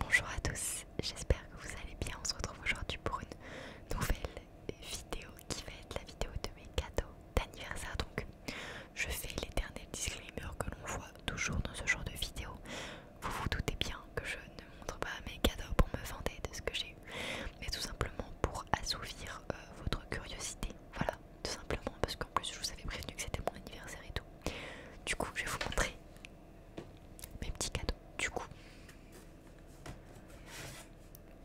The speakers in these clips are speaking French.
Bonjour à tous, j'espère que vous allez bien. On se retrouve aujourd'hui pour une nouvelle vidéo qui va être la vidéo de mes cadeaux d'anniversaire. Donc, je fais l'éternel disclaimer que l'on voit toujours dans ce genre de vidéo. Vous vous doutez bien que je ne montre pas mes cadeaux pour me vanter de ce que j'ai eu, mais tout simplement pour assouvir euh, votre curiosité. Voilà, tout simplement parce qu'en plus je vous avais prévenu que c'était mon anniversaire et tout. Du coup, je vais vous montrer mes petits cadeaux. Du coup,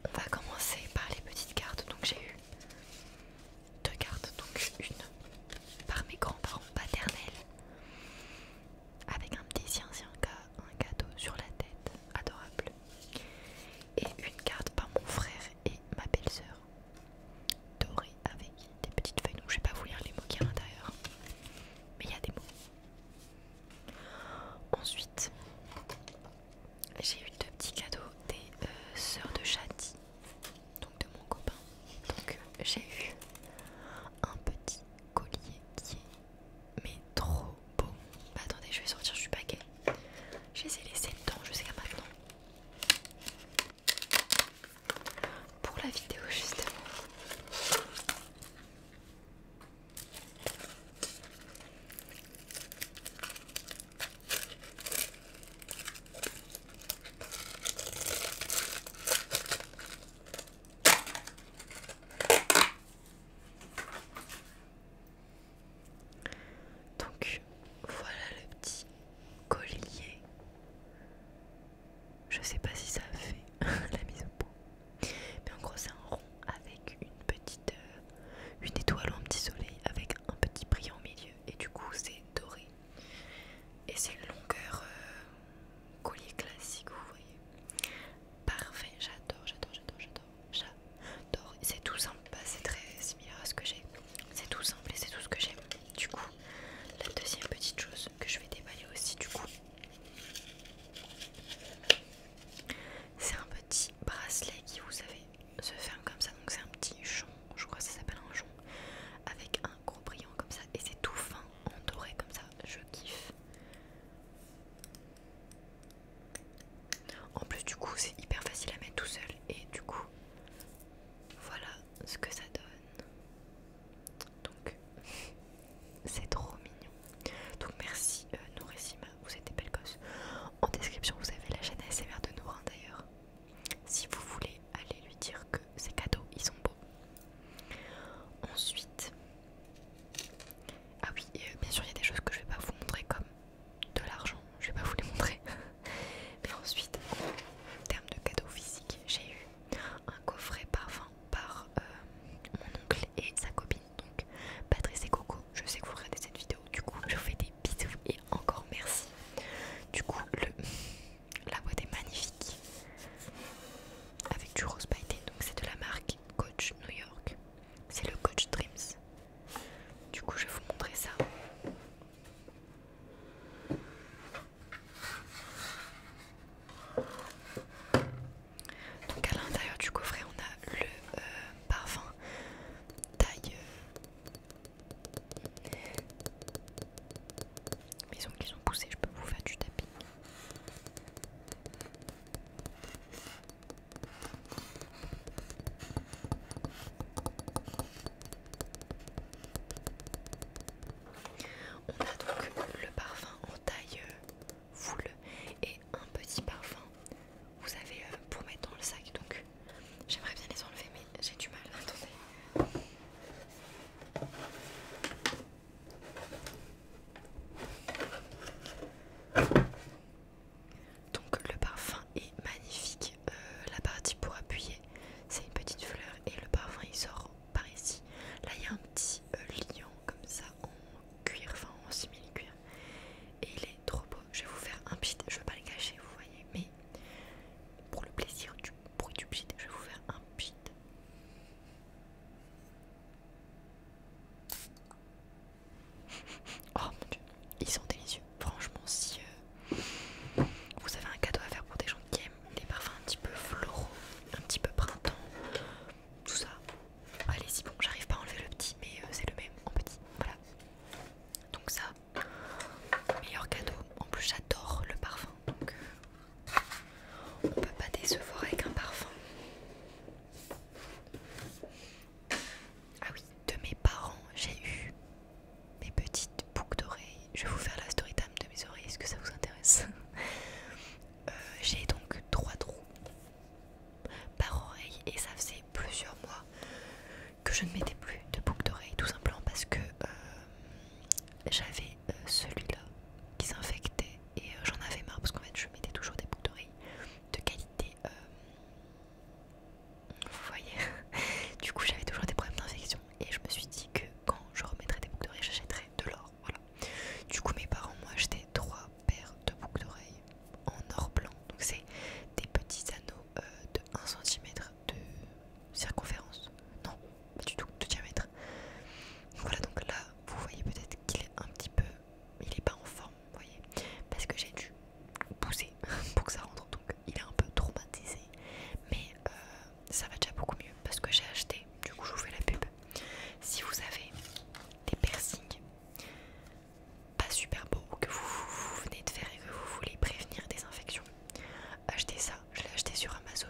on va commencer par les petites cartes. Donc j'ai eu deux cartes, donc une par mes grands-parents paternels avec un petit sien, un cadeau sur la tête, adorable, et une carte par mon frère et ma belle-sœur, dorée avec des petites feuilles, donc je vais pas vous lire les mots qu'il y a à l'intérieur, mais il y a des mots. Ensuite, j'ai eu deux petits cadeaux des euh, sœurs de châti donc de mon copain. Donc j'ai eu un petit collier qui est mais trop beau. Bah, attendez, je vais sortir du paquet. Je les ai laissés dedans jusqu'à maintenant pour la vidéo justement. Donc voilà le petit collier je sais pas si ça fait la mise au point. Mais en gros, c'est un rond avec une petite euh, une étoile en petit soleil avec un petit brillant au milieu. Et du coup, c'est doré. Et c'est une longueur euh, collier classique, vous voyez. Parfait, j'adore, j'adore, j'adore, j'adore. J'adore. C'est tout simple, bah, c'est très similaire à ce que j'ai. C'est tout simple et c'est tout ce que j'aime. Du coup, la deuxième petite chose que je vais déballer aussi, du coup, c'est un petit bracelet qui, vous savez, se ferme comme ça. Donc c'est un petit jonc, je crois que ça s'appelle un jonc, avec un gros brillant comme ça. Et c'est tout fin, entouré comme ça. Je kiffe. En plus, du coup, c'est hyper facile à mettre tout seul. Et du coup, voilà ce que ça donne. Donc c'est trop mignon. Donc merci euh, Nourissima, vous êtes des belles gosses. En description vous avez la chaîne ASMR de Nourin d'ailleurs. Si vous voulez aller lui dire que ces cadeaux ils sont beaux. Ensuite, ah oui, euh, bien sûr il y a des choses que je vais pas vous montrer comme de l'argent, je vais pas vous les montrer. Mais ensuite, en termes de cadeaux physiques, j'ai eu un coffret parfum par euh, mon oncle et sa copine. Donc Patrice et Coco, je sais que vous regardez cette vidéo. Du coup, je vous fais des bisous et encore merci. Du coup, le, la boîte est magnifique avec du rose pailleté. Donc c'est de la marque Coach New York. C'est le Coach Dreams. Du coup, je vais vous montrer ça. Donc à l'intérieur du coffret on a le euh, parfum taille. Euh, maison qu'ils ont poussé, je peux vous faire du tapis. On a donc le parfum en taille euh, foule et un petit parfum. Vous avez euh, pour mettre dans le sac donc j'aimerais bien les enlever mais j'ai du mal. Donc le parfum est magnifique. Euh, la partie pour appuyer, c'est une petite fleur et le parfum il sort par ici. Là, il y a un petit euh, lion comme ça en cuir, enfin en simili-cuir. Et il est trop beau. Je vais vous faire un pit, je vais pas le cacher, vous voyez, mais pour le plaisir du bruit du pit, je vais vous faire un pit. Oh mon dieu, ils sont délicieux. Franchement, si euh, vous avez un cadeau à faire pour des gens qui aiment des parfums un petit peu floraux, un petit peu printemps, tout ça. allez si bon, j'arrive pas à enlever le petit, mais euh, c'est le même en petit. Voilà. Donc, ça, meilleur cadeau. En plus, j'adore le parfum, donc euh, on peut pas décevoir avec un parfum. Ah oui, de mes parents, j'ai eu mes petites boucles d'oreilles je vais vous faire la story de mes oreilles, est-ce que ça vous intéresse euh, J'ai donc trois trous par oreille et ça faisait plusieurs mois que je ne mettais plus de boucles d'oreilles, tout simplement parce que euh, j'avais euh, celui-là qui s'infectait et j'en avais marre parce qu'en fait je mettais toujours des boucles d'oreilles de qualité vous voyez du coup j'avais toujours des problèmes d'infection et je me suis dit que quand je remettrais des boucles d'oreilles, j'achèterais de l'or. Voilà. Du coup, mes parents m'ont acheté trois paires de boucles d'oreilles en or blanc. Donc, c'est des petits anneaux euh, de 1 cm de circonférence. Non, pas du tout, de diamètre. voilà, donc là, vous voyez peut-être qu'il est un petit peu. Il est pas en forme, vous voyez, parce que j'ai dû pousser pour que ça rentre. Donc, il est un peu traumatisé. Mais euh, ça va déjà beaucoup mieux parce que j'ai acheté, du coup je vous fais la pub. Si vous avez des piercings pas super beaux que vous, venez de faire et que vous voulez prévenir des infections, achetez ça. Je l'ai acheté sur Amazon.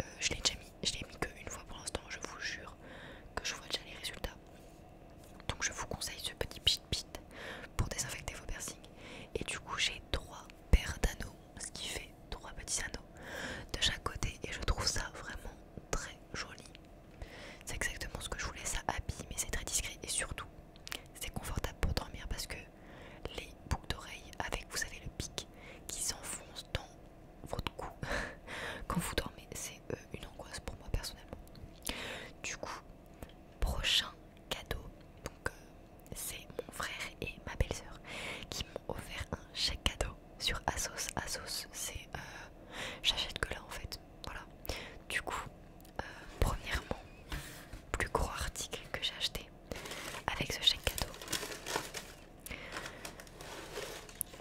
Euh, je l'ai déjà mis, je l'ai mis qu'une fois pour l'instant, je vous jure que je vois déjà les résultats. Donc je vous conseille ce petit pit pit pour désinfecter vos piercings. Et du coup j'ai trois paires d'anneaux, ce qui fait trois petits anneaux de chaque côté et je trouve ça vraiment très joli. C'est exactement ce que je voulais, ça habille mais c'est très discret et surtout c'est confortable pour dormir parce que les boucles d'oreilles avec vous savez le pic qui s'enfonce dans votre cou quand vous dormez c'est euh, une angoisse pour moi personnellement. Du coup, prochain cadeau, donc euh, c'est mon frère et ma belle-sœur qui m'ont offert un chèque cadeau sur Asos. Asos, c'est euh, j'achète que là en fait. Voilà. Du coup, euh, premièrement, plus gros article que j'ai acheté avec ce chèque cadeau.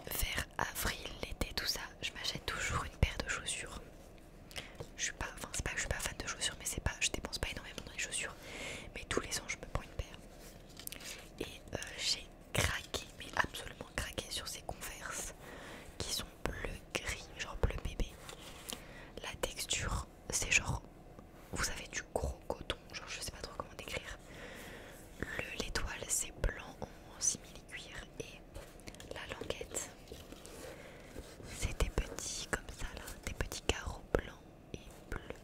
Vers avril, l'été, tout ça, je m'achète toujours une paire de chaussures. Je suis pas, je suis pas fan de chaussures, mais c'est pas, je dépense pas énormément dans les chaussures. Mais tous les ans, je me prends une paire. Et euh, j'ai craqué, mais absolument craqué sur ces converses qui sont bleu-gris, genre bleu bébé. La texture, c'est genre, vous avez du gros coton, genre je sais pas trop comment décrire. L'étoile, c'est blanc en simili-cuir et la languette, c'est des petits comme ça là, des petits carreaux blancs et bleus.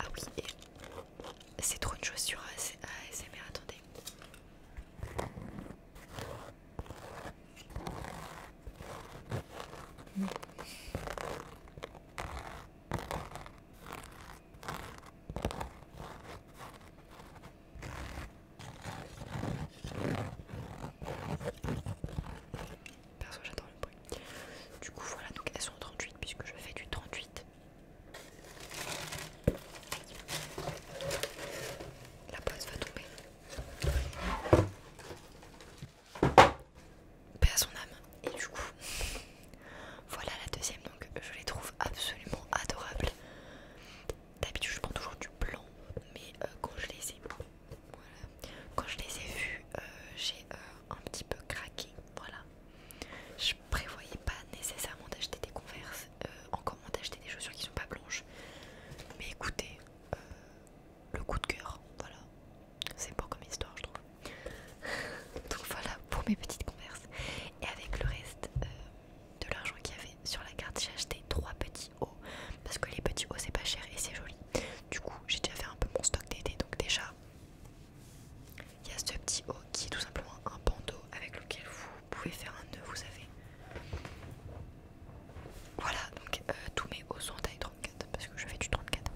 Ah oui, c'est trop une chaussure ASMR, attendez. Perso, j'adore le bruit. Du coup, voilà, donc elles sont 38 puisque je fais du 38. La pose va tomber. Paix son âme. Et du coup, voilà la deuxième. Donc, je les trouve absolument adorables. D'habitude, je prends toujours du blanc, mais euh, quand je les ai, quand je les ai vus, euh, j'ai euh, un petit peu craqué. Voilà. Je prévoyais pas nécessairement d'acheter des converses, euh, encore moins d'acheter des chaussures qui ne sont pas blanches. Mais écoutez, euh, le coup de cœur, voilà. C'est pas comme histoire, je trouve. Donc voilà pour mes petites converses. Et avec le reste euh, de l'argent qu'il y avait sur la carte, j'ai acheté trois petits hauts. Parce que les petits hauts, c'est pas cher et c'est joli. Du coup, j'ai déjà fait un peu mon stock d'été. Donc déjà, il y a ce petit haut qui est tout simplement un bandeau avec lequel vous pouvez faire un nœud, vous savez. Voilà, donc euh, tous mes hauts sont en taille 34 parce que je fais du 34.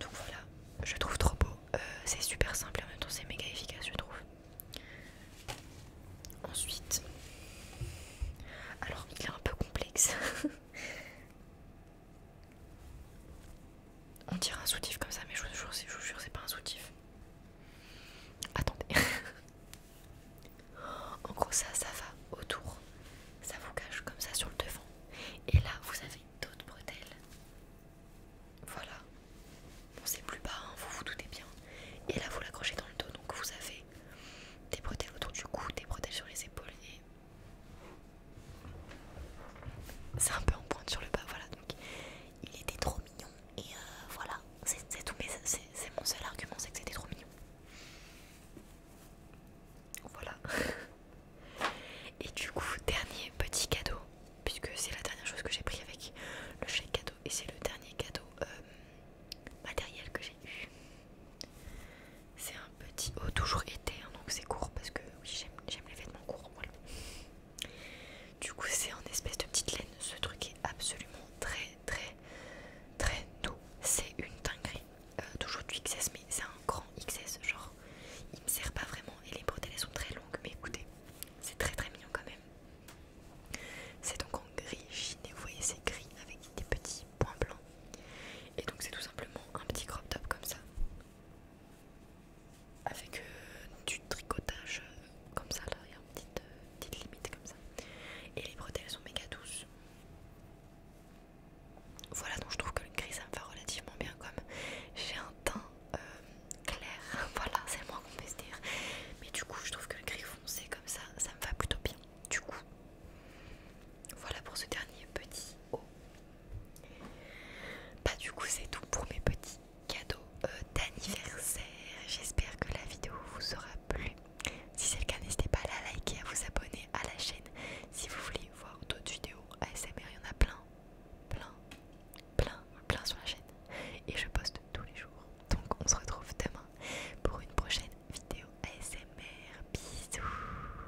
Donc voilà, je trouve trop beau. Euh, c'est super simple et en même temps c'est méga efficace, je trouve. Ensuite, alors il est un peu complexe. On dirait un soutif comme ça, mais je vous jure, c'est pas un soutif. Attendez. en gros, ça, ça va autour. Ça vous cache comme ça sur le devant. Et là, vous avez d'autres bretelles. Voilà. Bon, c'est plus bas, hein, vous vous doutez bien. Et là, vous l'accrochez dans le dos, donc vous avez des bretelles autour du cou, des bretelles sur les épaules c'est un peu en pointe sur le bas, voilà. Donc il était trop mignon et euh, voilà, c'est tout. Mais c'est mon seul argument, c'est que c'était trop mignon. Voilà. Et du coup, dernier petit cadeau, puisque c'est la dernière chose que j'ai pris avec le chèque cadeau et c'est le dernier cadeau euh, matériel que j'ai eu. C'est un petit haut, toujours été, hein, donc c'est court parce que j'aime les vêtements courts. Du coup, c'est en espèce de petite laine. Ce truc est absolument très, très, très doux. C'est une gris toujours du XS, mais c'est un grand XS. Genre, il me sert pas vraiment et les bretelles elles sont très longues. Mais écoutez, c'est très, très mignon quand même. C'est donc en gris chiné. Vous voyez, c'est gris avec des petits points blancs. Et donc, c'est tout simplement un petit crop top comme ça avec euh, du tricotage euh, comme ça là, il y a une euh, petite, limite comme ça. Et les bretelles sont méga douces. Voilà, donc je trouve que le gris ça me va relativement bien comme j'ai un teint clair. voilà, c'est le moins qu'on se dire. Mais du coup, je trouve que le gris foncé comme ça, ça me va plutôt bien. Du coup, voilà pour ce dernier petit haut. Bah du coup c'est tout pour mes petits cadeaux euh, d'anniversaire. J'espère que la vidéo vous aura plu. Si c'est le cas, n'hésitez pas à la liker, à vous abonner à la chaîne. Si vous voulez voir d'autres vidéos ASMR, il y en a plein, plein, plein, plein sur la chaîne. Et je poste tous les jours. Donc on se retrouve demain pour une prochaine vidéo ASMR. Bisous